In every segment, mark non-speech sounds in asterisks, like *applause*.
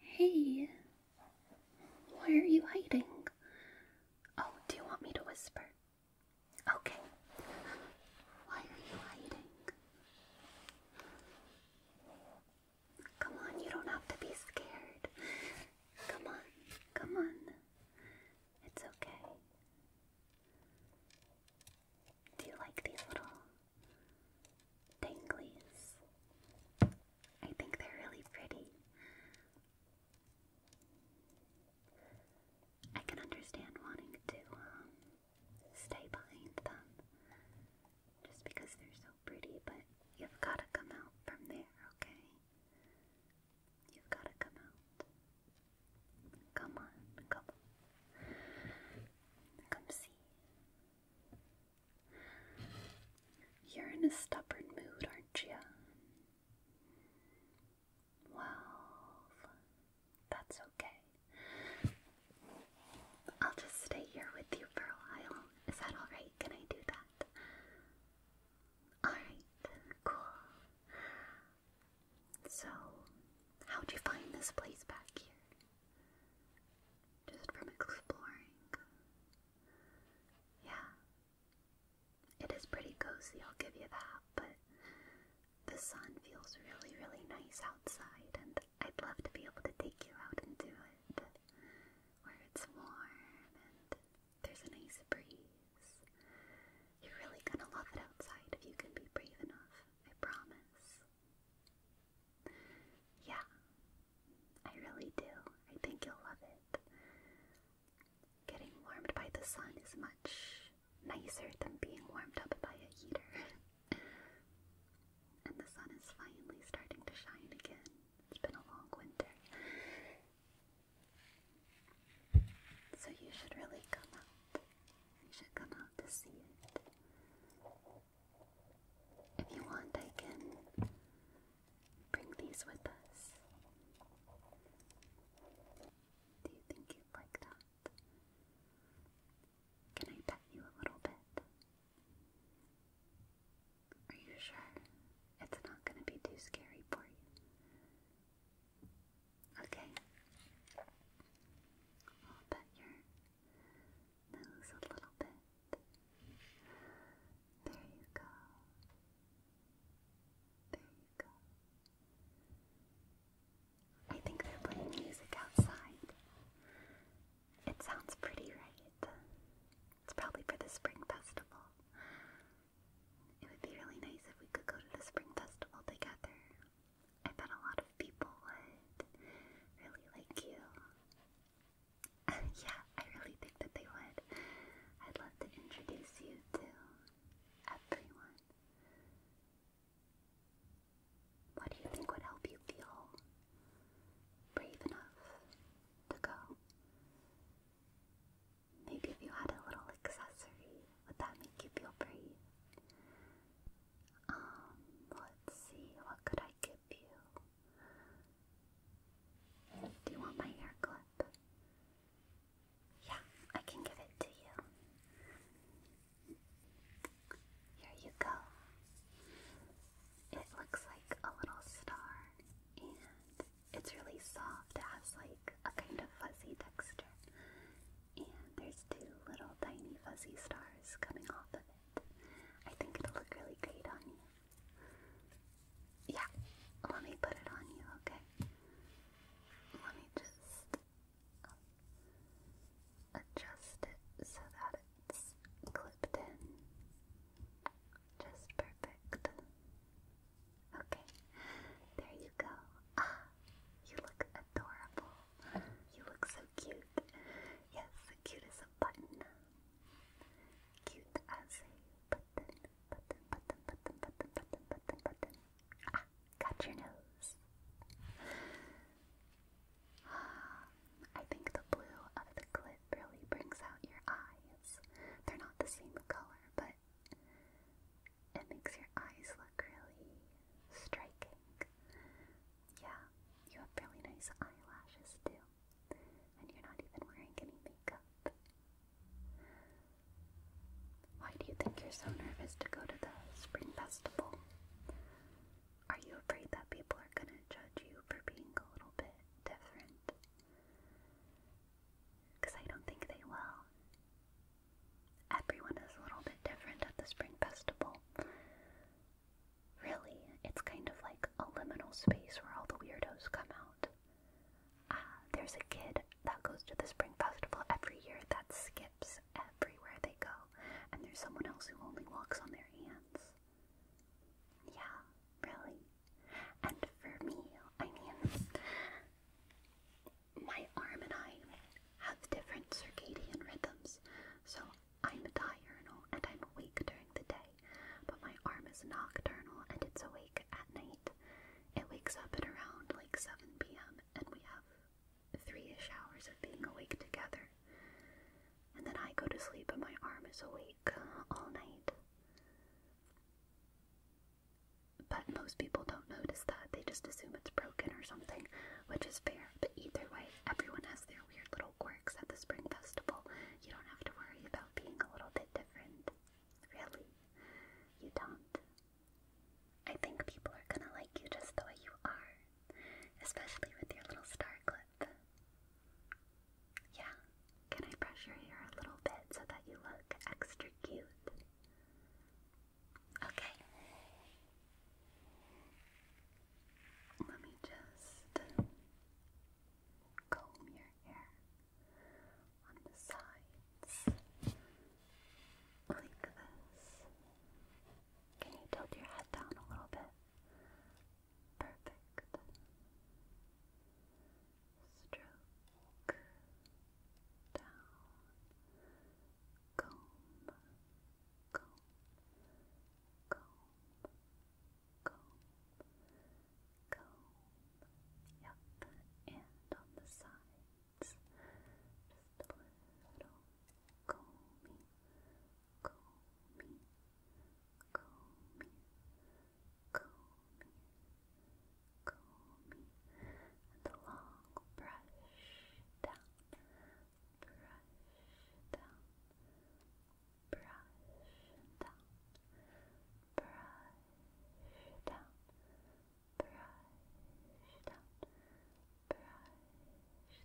Hey, why are you hiding? Oh, do you want me to whisper? Okay. Why are you hiding? Come on, you don't have to be scared. Come on, come on. It's okay. Do you like these little Tanglies. I think they're really pretty. I can understand wanting to um, stay behind them just because they're so pretty, but you've got to come out from there, okay? You've got to come out. Come on, come on. Come see. You're in a stubborn mood, aren't you? Well, that's okay. I'll just stay here with you for a while. Is that alright? Can I do that? Alright, cool. So, how'd you find this place back here? just from exploring. Yeah, it is pretty cozy, I'll give you that, but the sun feels really, really nice outside, and I'd love to be able to take you out and do it where it's warm and there's a nice breeze. You're really gonna love it outside if you can be brave enough, I promise. Yeah, I really do. I think you'll love it. Getting warmed by the sun is much nicer than being warmed up by a heater. and the sun is finally starting to shine again. It's been a long winter. So you should really come out. You should come out to see it. If you want, I can bring these with us. Do you think you'd like that? Can I pet you a little bit? Are you sure it's not going to be too scary for you? Okay. I'll bet your Nose a little bit. There you go. There you go. I think they're playing music outside. It sounds pretty, right? It's probably for the Spring Festival. It would be really nice if we could go to the Spring Festival together. I bet a lot of people would really like you *laughs* yeah, I really think that they would. I'd love to introduce you to everyone. What do you think would help you feel brave enough to go? Maybe if you had a little accessory, would that make you feel brave? Um, let's see, what could I give do you want my hair clip? Yeah, I can give it to you. Here you go. It looks like a little star, and it's really soft. It has like a kind of fuzzy texture. And there's two little tiny fuzzy stars coming off of it. I think it'll look really great on you. Yeah, let me put it on you, okay? Let me just um, adjust it so that it's clipped in. Just perfect. Okay, there you go. Ah, you look adorable. You look so cute. Yes, cute as button. Cute as a button. Button, button, button, button, button, button, button. Ah, got your nose. I think the blue of the clip really brings out your eyes. They're not the same color, but it makes your eyes look really striking. Yeah, you have really nice eyelashes too. And you're not even wearing any makeup. Why do you think you're so nervous to go to the spring festival? Are you afraid that people are gonna judge you for being a little bit different? Because I don't think they will. Everyone is a little bit different at the spring festival. Really, it's kind of like a liminal space where all the weirdos come out. Uh, there's a kid that goes to the Spring Festival every year that skips everywhere they go, and there's someone else who only walks on their hands. Yeah, really. And for me, I mean, my arm and I have different circadian rhythms, so I'm diurnal and I'm awake during the day, but my arm is nocturnal and it's awake at night. It wakes up at around like 7 p.m. and we have three-ish hours of being awake together. And then I go to sleep and my arm is awake all night. But most people don't notice that. They just assume it's broken or something, which is fair. But either way, everyone has their weird little little at the Spring Festival, you don't have to worry about being a little bit different. Really, you don't. I think people are gonna like you just the way you are, especially with your little star clip. Yeah, can I brush your hair a little bit so that you look extra cute? Okay, let me just comb your hair on the sides like this. Can you tilt your head down a little bit? Perfect. Stroke down. Comb, comb, comb comb, comb. Yep, and on the sides, just a little combing, combing, combing, combing, combing, and a long brush down, brush down. Brush brush down, brush down, brush down, brush down, brush down, brush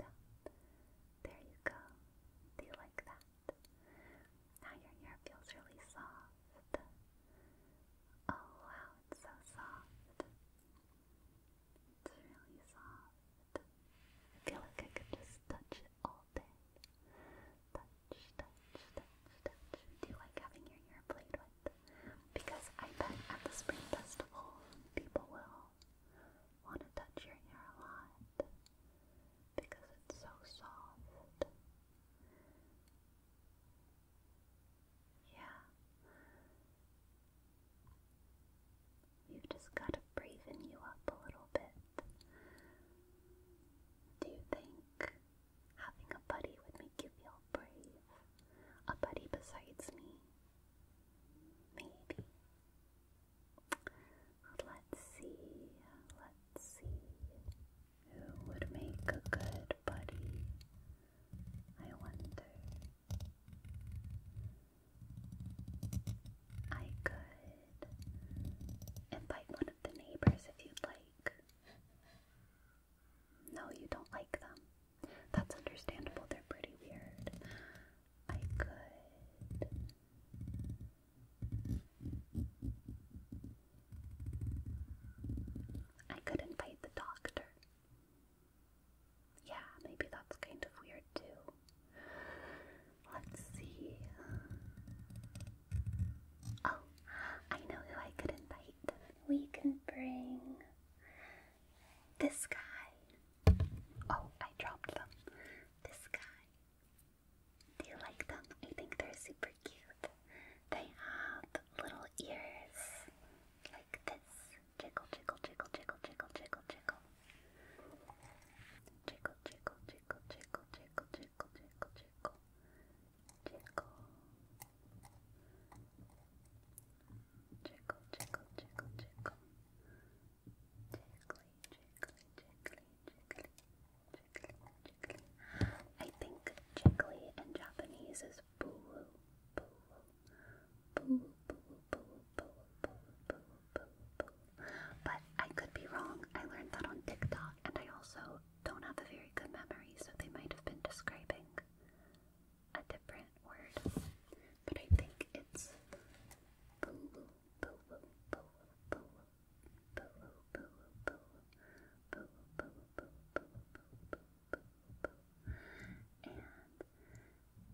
down. There you go. Do you like that? Now your hair feels really soft. Oh it's so soft. It's really soft. I feel like I could just touch it all day. Touch, touch, touch, touch. Do you like having your hair played with? Because I bet at the Spring Festival, people will want to touch your hair a lot. Because it's so soft. Yeah you just got to braven you up a little bit. Do you think having a buddy would make you feel brave? A buddy besides me? Maybe. Let's see, let's see. Who would make a good buddy? I wonder. I could invite one of the neighbors if you'd like. No, you don't like them. That's understandable, they're pretty weird. I could. I could invite the doctor yeah, maybe that's kind of weird too. Let's see. Oh, I know who I could invite. We can bring this guy. Oh, I dropped them. This guy. Do you like them? I think they're super cute. They have little ears like this. Jiggle, jiggle, jiggle, jiggle, jiggle, jiggle, jiggle. Tickle, tickle, tickle, tickle, tickle, tickle, tickle, tickle, tickle. Tickle, tickle, tickle, tickle. Tickly, tickly, tickly, tickly, tickly, tickly. I think tickly in Japanese is boo, boo, boo, boo, boo, boo, boo, boo, boo, but I could be wrong. I learned that on TikTok, and I also don't have a very good memory, so they might have been describing a different word. But I think it's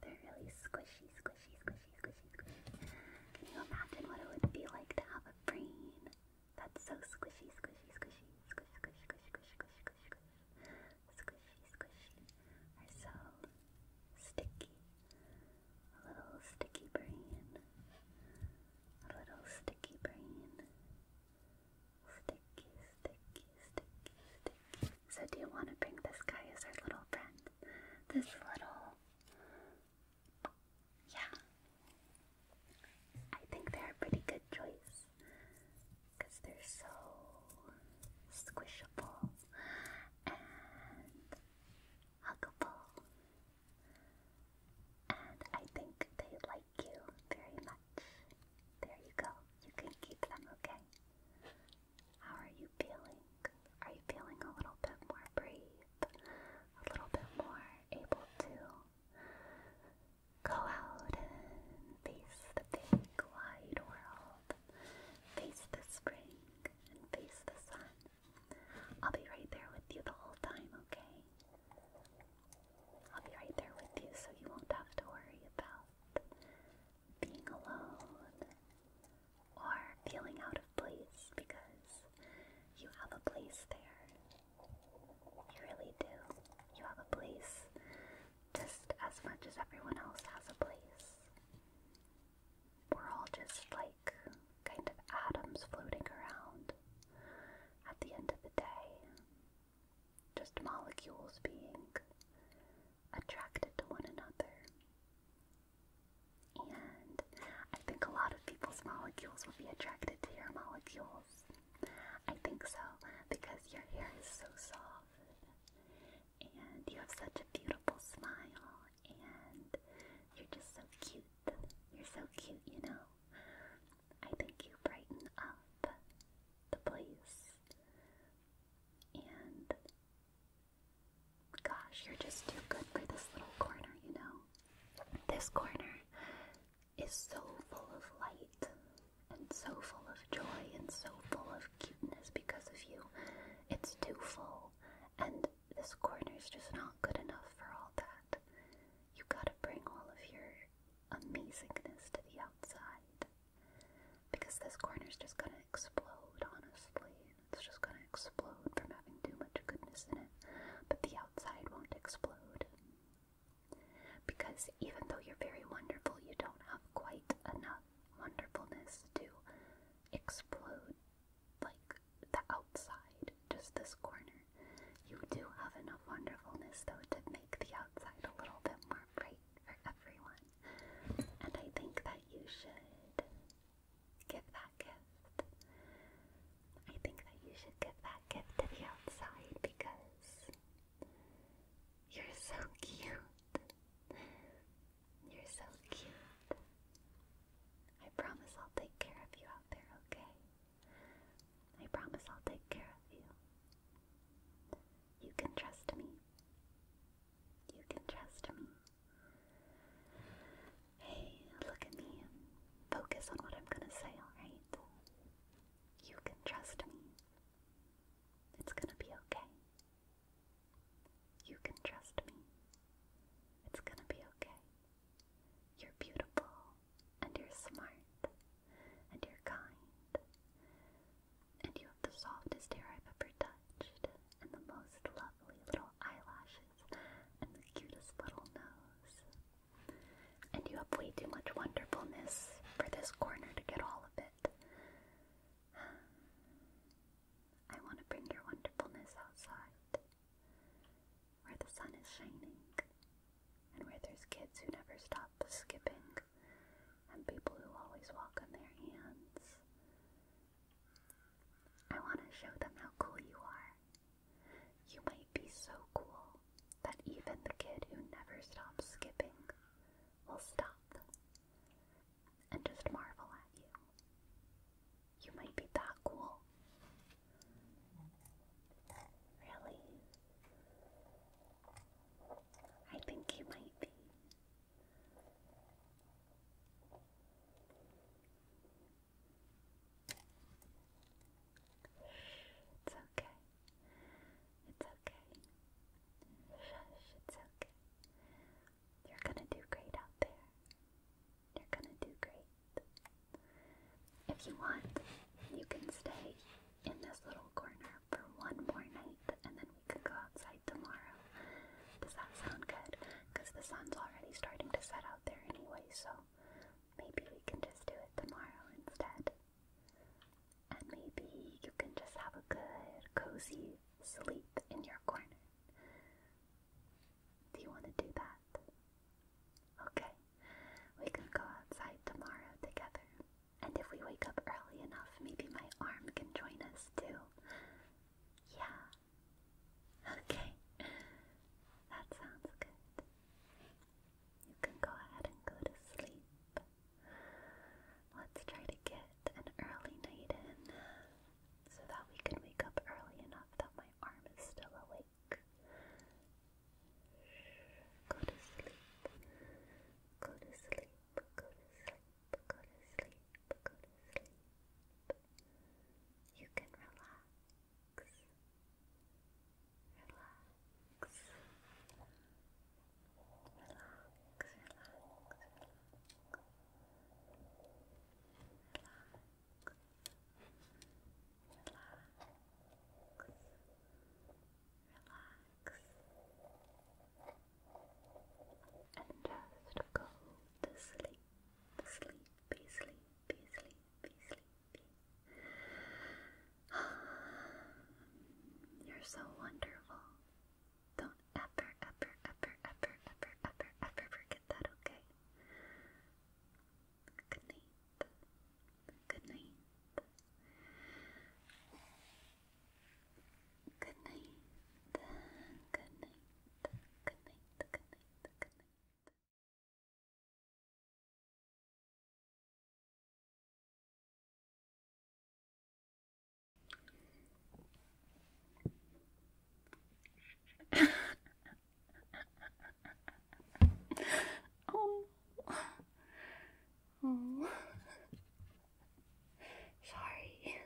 they're really squishy, squishy, squishy, squishy, squishy. Can you imagine what it would be like to have a brain that's so squishy, squishy, squishy, squish, squish, squish, squish, squish, squish, squish, squishy, squishy, or so sticky. A little sticky brain. A little sticky brain. Sticky, sticky, sticky, sticky. So, do you want to bring this guy as our little friend? This little. Yeah. I think they're a pretty good choice because they're so squishable and huggable. And I think they like you very much. There you go. You can keep them, okay? How are you feeling? Are you feeling a little bit more brave? A little bit more able to go out and face the big wide world, face the spring, and face the sun. I'll be right there with you the whole time, okay? I'll be right there with you so you won't have to worry about being alone or feeling out of place because you have a place there. You really do. You have a place just as much as everyone else has a place. We're all just like kind of atoms floating around at the end of the day. Just molecules being attracted to one another and I think a lot of people's molecules will be attracted to your molecules. I think so, because your hair is so soft, and you have such a beautiful smile, and you're just so cute. You're so cute, you know. I think you brighten up the place. And Gosh, you're just too good for this little corner, you know? This corner is so full of light and so full of joy and so full of cuteness because of you. It's too full, and this corner is just not good enough for all that. You gotta bring all of your amazingness to the outside because this corner is just gonna explode, honestly. It's just gonna explode from having too much goodness in it, but the outside won't explode. Because even though you're very wonderful, you don't have quite enough wonderfulness to explode like the outside, just this corner. You do have enough wonderfulness though to make the outside a little bit more bright for everyone. And I think that you should give that gift. I think that you should give that gift to the outside because you're so cute. You're so cute. I promise I'll take care of you out there, okay? I promise I'll take care of you. You can trust me. You can trust me. Hey, look at me. Focus on what I'm gonna say, alright? You can trust me. It's gonna be okay. You can trust me. It's gonna be okay. You're beautiful, and you're smart, and you're kind, and you have the softest hair I've ever touched, and the most lovely little eyelashes and the cutest little nose. And you have way too much wonderfulness for this corner to get all of it. I want to bring your wonderfulness outside, where the sun is shining, and where there's kids who never stop skipping, and people who always walk on their hands, I want to show them how cool you are. You might be so cool that even the kid who never stops skipping will stop and just marvel at you. You might be that cool. Really? I think you might be. It's okay. It's okay. Shush, it's okay. You're gonna do great out there. You're gonna do great. If you want, you can stay in this little corner for one more night and then can go outside tomorrow. Does that sound good? Because the sun's already starting to set out there anyway, so maybe we can just do it tomorrow instead. And maybe you can just have a good, cozy sleep in your corner. Do you want to do that? Okay, we can go outside tomorrow together. And if we wake up early enough, maybe my arm can join us too. Yeah, Okay, that sounds good. You can go ahead and go to sleep. Let's try to get an early night in so that we can wake up early enough that my arm is still awake. Go to sleep. Go to sleep. Go to sleep. Go to sleep. Go to sleep you can relax, relax, relax, relax, relax. Relax. Relax and just go to sleep, sleepy, sleepy, sleepy, sleepy. You're so wonderful. Don't ever, ever, ever, ever, ever, ever, ever forget that, okay? Good night. Good night. Good night. Good night. Good night. Good night. Good night. oh. oh. Sorry.